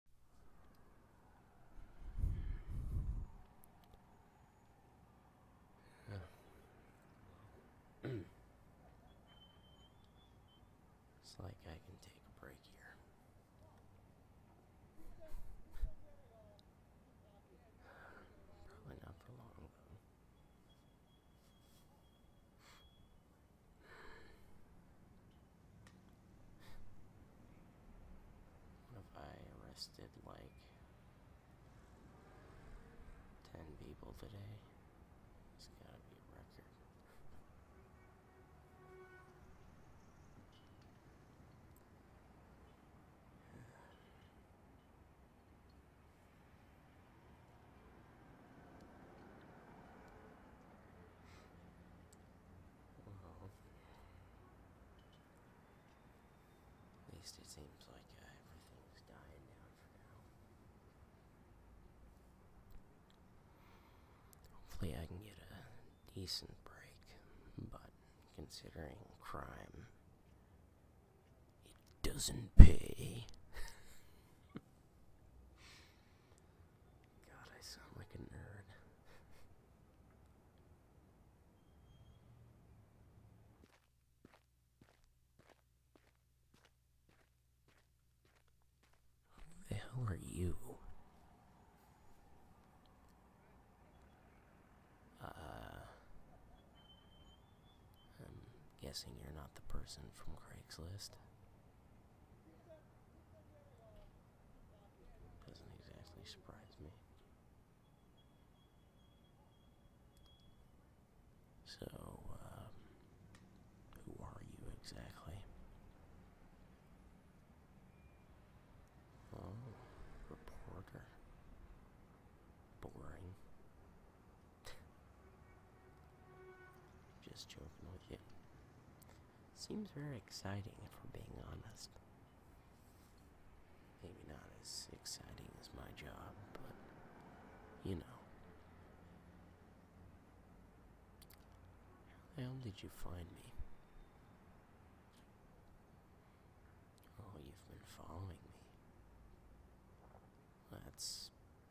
it's like I can take a break here. Probably not for long, what I arrested like 10 people today? It's gotta be a record. At least it seems like uh, Hopefully, I can get a decent break, but considering crime, it doesn't pay. God, I sound like a nerd. Who the hell are you? Uh, I'm guessing you're not the person from Craigslist. Doesn't exactly surprise me. So, um, who are you exactly? Oh, reporter. Boring. Just joking with you. Seems very exciting, if we're being honest. Maybe not as exciting as my job, but you know. How did you find me? Oh, you've been following me. That's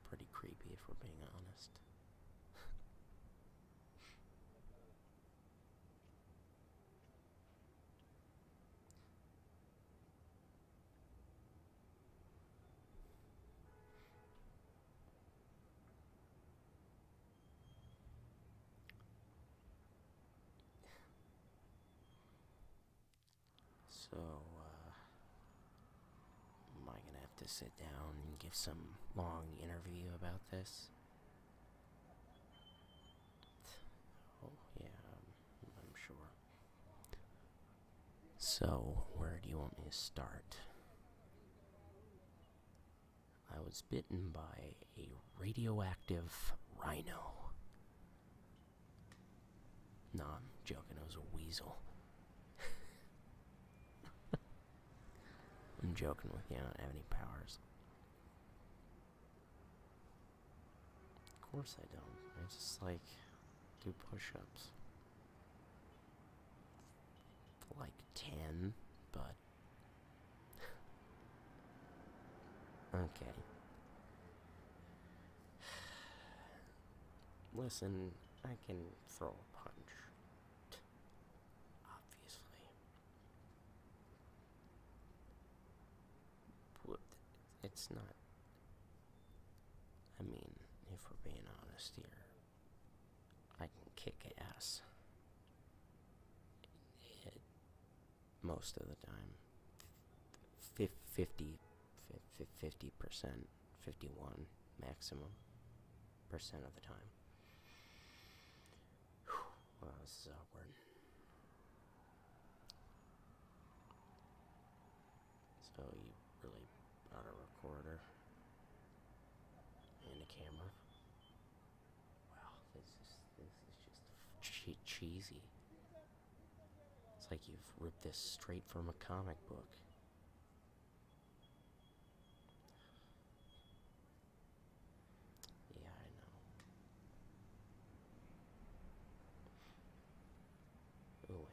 pretty creepy, if we're being honest. So, uh, am I gonna have to sit down and give some long interview about this? Oh, yeah, I'm, sure. So, where do you want me to start? I was bitten by a radioactive rhino. No, I'm joking, it was a weasel. I'm joking with you, I don't have any powers. Of course I don't. I just like do push ups. Like 10, but. okay. Listen, I can throw a punch obviously. It's not. I mean, if we're being honest here, I can kick ass. most of the time, F 50, 50 percent, 51 maximum percent of the time. Wow, this is awkward. So you really bought a recorder and a camera. Wow, this is this is just cheesy. It's like you've ripped this straight from a comic book. Yeah, I know. Who am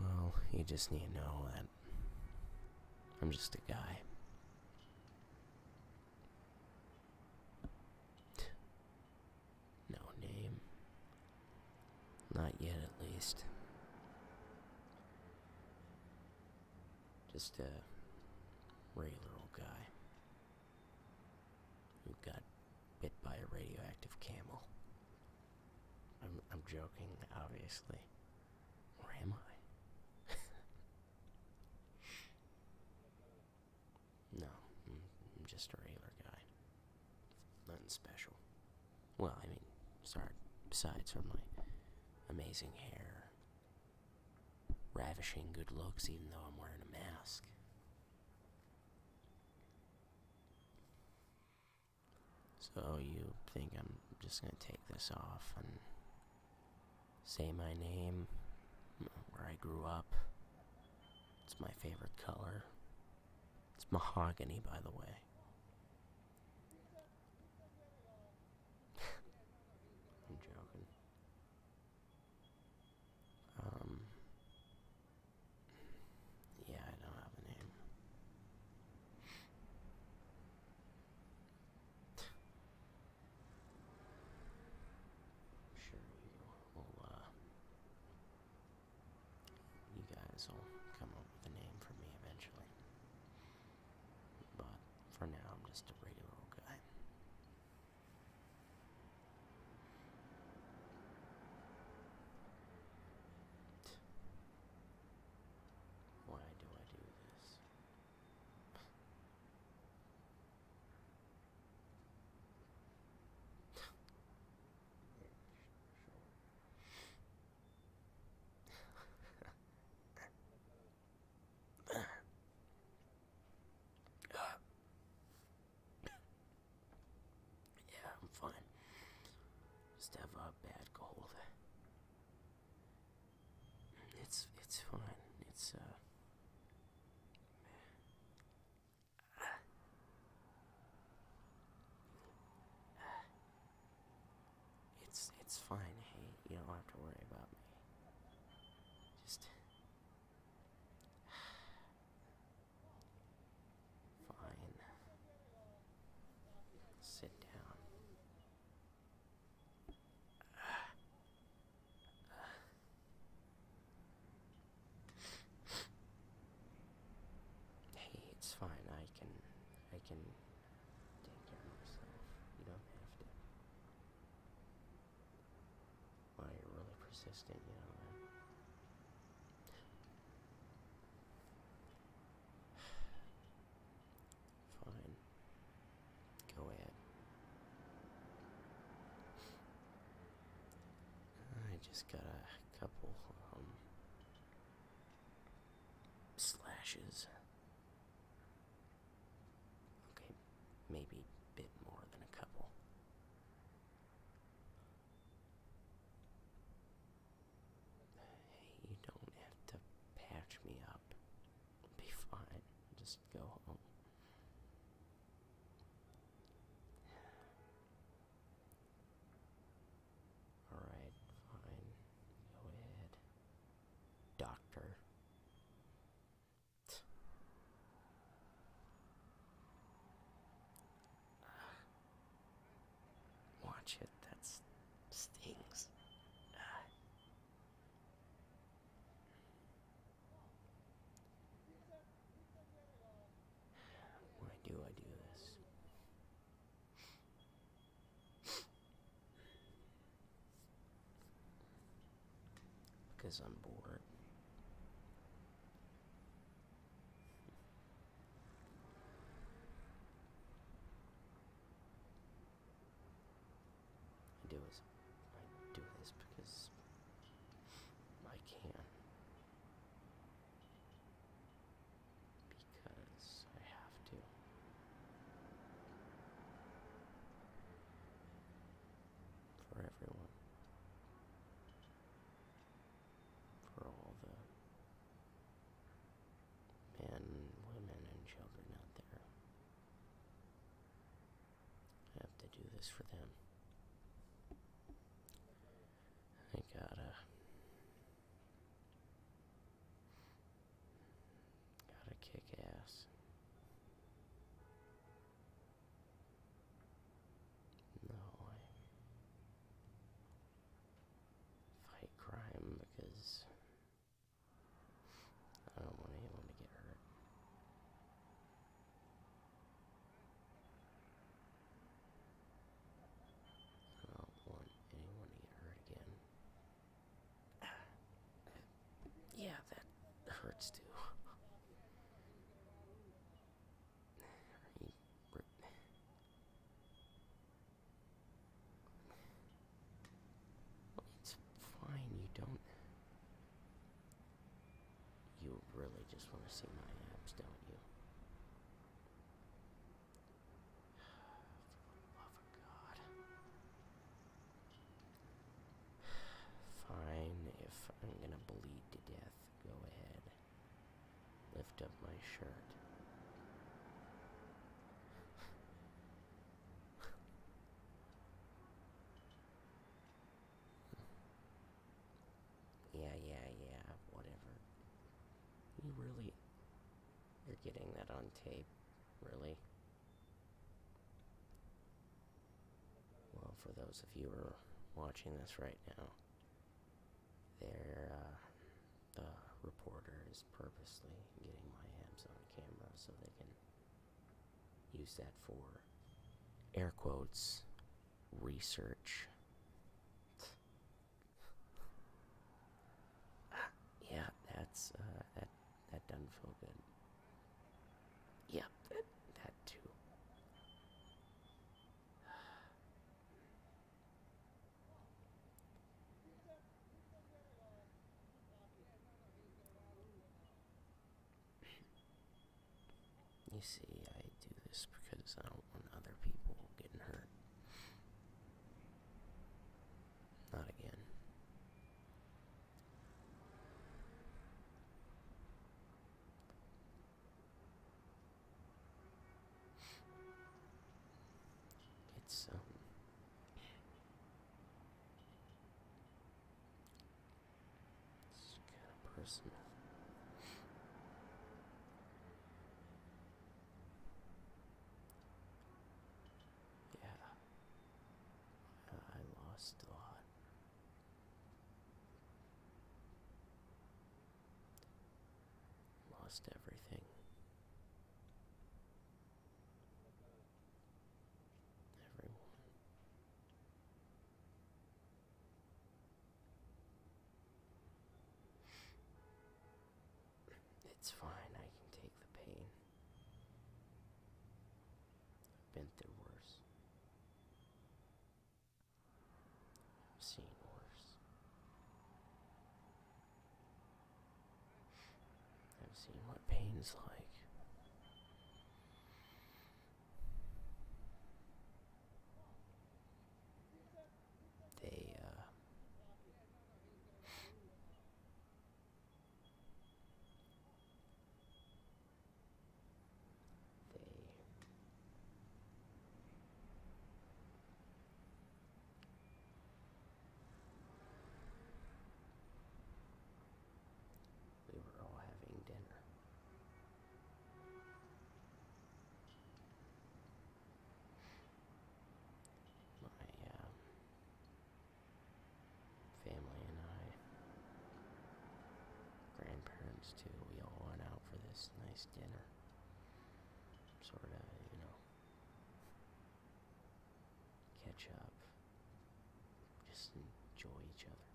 I? Well, you just need to know that I'm just a guy. No name, not yet, at least. Just a regular old guy who got bit by a radioactive camel. I'm, I'm joking, obviously. Or am I? no, I'm just a regular guy. Nothing special. Well, I mean, sorry, besides for my amazing hair, ravishing good looks, even though I'm wearing a mask. So, you think I'm just gonna take this off and say my name, where I grew up? It's my favorite color. It's mahogany, by the way. I'm joking. Um. Yeah, I don't have a name. Sure, we will. Uh, you guys will come up with a name for me eventually. But for now, I'm just a regular guy. Why do I do this? uh, yeah, I'm fine. Just have a bad cold. It's it's fine. It's uh it's it's fine, hey, you don't have to worry about me. Just fine. Sit down hey, it's fine. I can, I can take care of myself. You don't have to. Well, you're really persistent, you know. Right? Fine. Go ahead. I just got a couple um slashes. Okay, maybe a bit more than a couple. Hey, you don't have to patch me up. Be fine. Just go home. Alright, fine. Go ahead. Doctor. Watch it, that's stings. Why do I do this? because I'm bored. I do this. I do this because I can because I have to. For everyone. For all the men, women, and children out there. I have to do this for them. I gotta Gotta kick ass. No way. Fight crime because I don't want anyone to get hurt. Oh, I don't want anyone to get hurt again. Yeah, that hurts too. It's fine, you don't. You really just want to see my abs, don't you? Fine, if I'm gonna bleed to death, go ahead. Lift up my shirt. Yeah, yeah, yeah, whatever. You really. You're getting that on tape, really? Well, for those of you who are watching this right now, there, uh, the reporter is purposely getting my abs on camera so they can use that for air quotes research yeah, that's uh, that that doesn't feel good. Yeah, that that too. you see, I do this because I um, don't out other people getting hurt. Not again. It's um it's kind of personal. Yeah. I lost a lot. Lost everything. Everyone. It's fine, I can take the pain. I've been through worse. I've seen worse. I've seen what pain's like. Uh, they they we were all having dinner my uh, family and I, grandparents too, we all went out for this nice dinner. Sort of, you know, catch up, just enjoy each other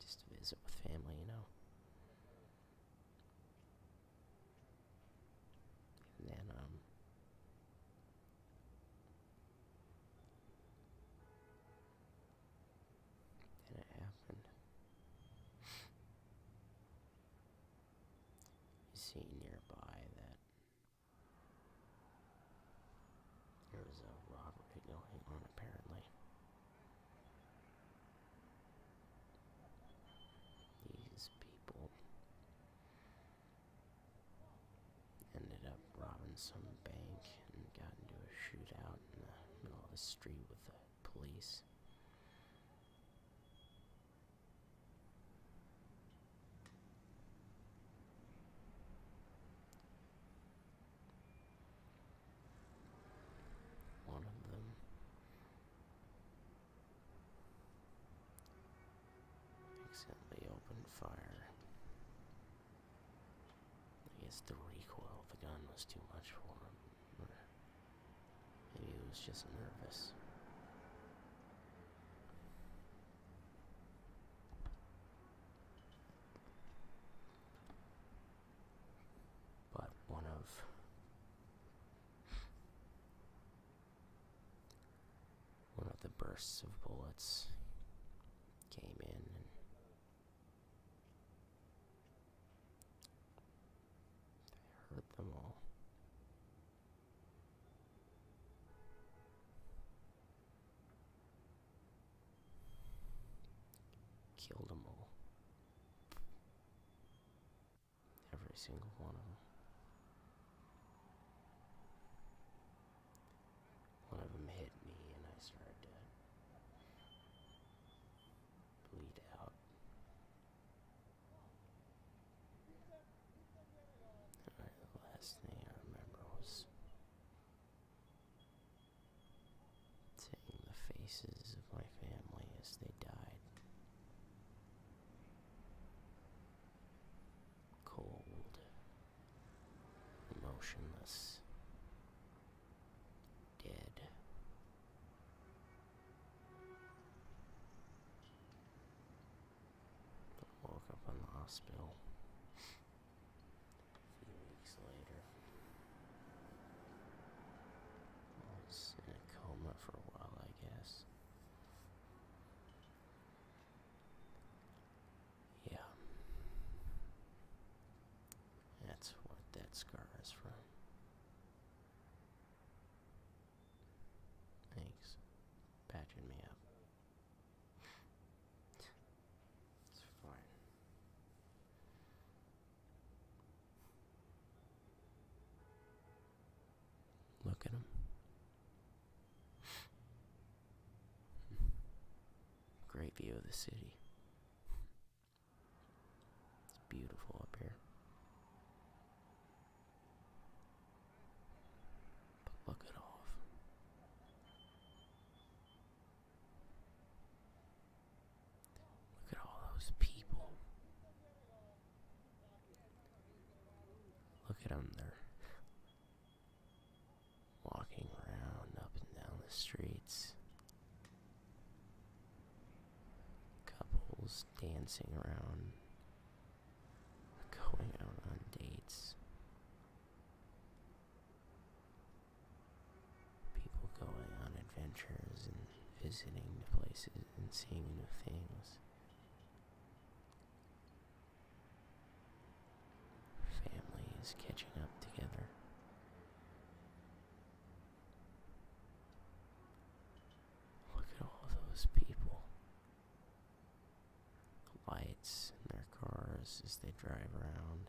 just to visit with family, you know. And then, um, then it happened. see nearby that there a robbery going on, apparently. These people ended up robbing some bank and got into a shootout in the middle of the street with the police. One of them. Accidentally opened fire. I guess the recoil the gun was too much for him. maybe he was just nervous but one of one of the bursts of bullets came in and hurt them all. Killed them all. Every single one of them. One of them hit me and I started to bleed out. the last thing I remember was Seeing the faces of my family as they died. Cold, emotionless, dead. woke up in the hospital few weeks later. was in a coma for a while, I guess. Yeah. That's what that scar is from. Thanks. Patching me up. Look at him. Great view of the city. It's beautiful up here. But look at all Look at all those people. Look at them, they're walking around up and down the streets. Couples dancing around, going out on dates people going on adventures and visiting new places and seeing new things. Families catching up together. Look at all those people. lights in their cars as they drive around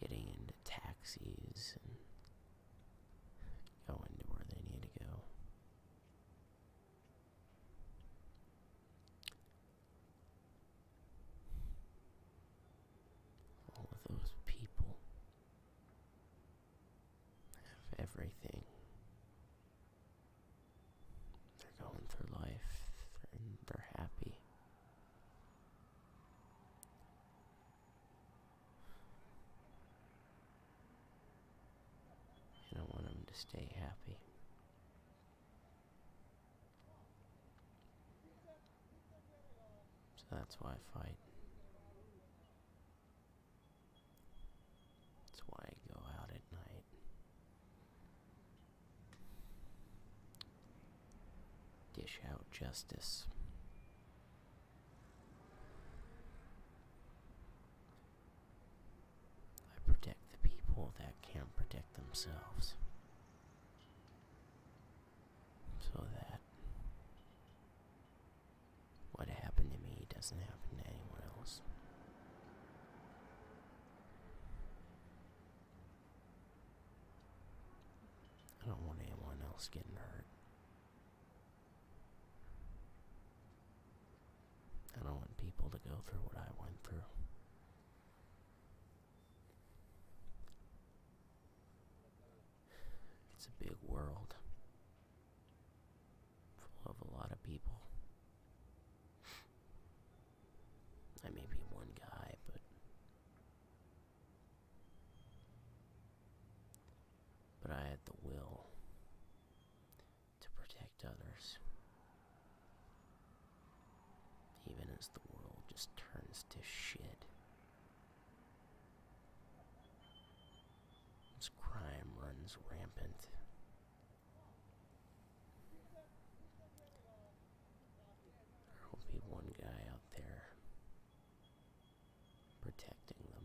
getting into taxis and going to where they need to go. All those people have everything. They're going through life and they're happy. And I want him to stay happy. So that's why I fight. That's why I go out at night. Dish out justice. I protect the people that can't protect themselves. So that what happened to me doesn't happen to anyone else. I don't want anyone else getting hurt. I don't want people to go through what I went through. It's a big world full of a lot of people. I may be one guy, but but I had the will to protect others, even as the world just turns to shit. As crime runs rampant. There will be one guy out there protecting them.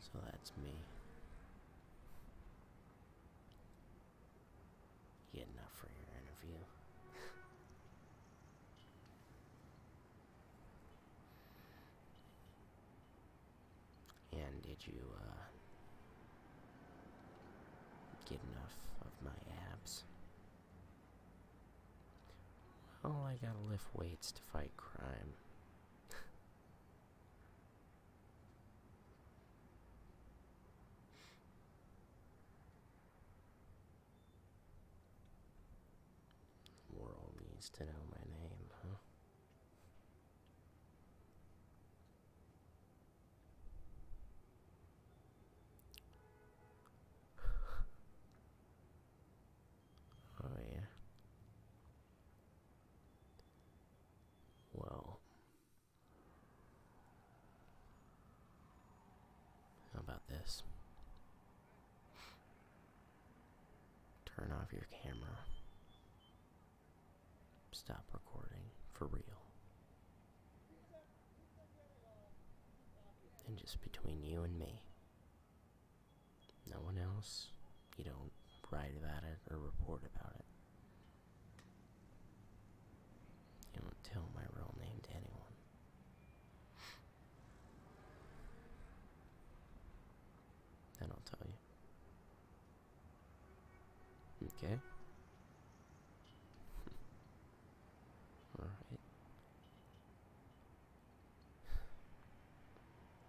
So that's me getting up for your interview. And did you uh, get enough of my abs? Well, I gotta lift weights to fight crime. World needs to know my name, huh? oh, yeah. Well, how about this? Turn off your camera. Stop recording for real. And just between you and me. No one else. You don't write about it or report about it. You don't tell my real name to anyone. Then I'll tell you. Okay. All right.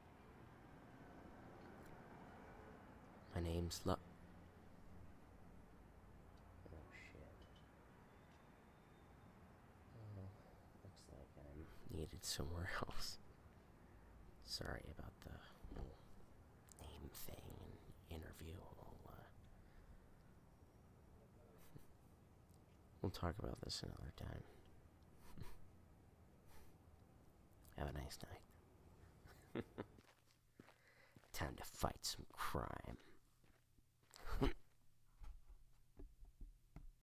My name's Luck. Oh shit. Oh, looks like I'm needed somewhere else. Sorry about the name thing interview. Uh, we'll talk about this another time. Have a nice night. Time to fight some crime.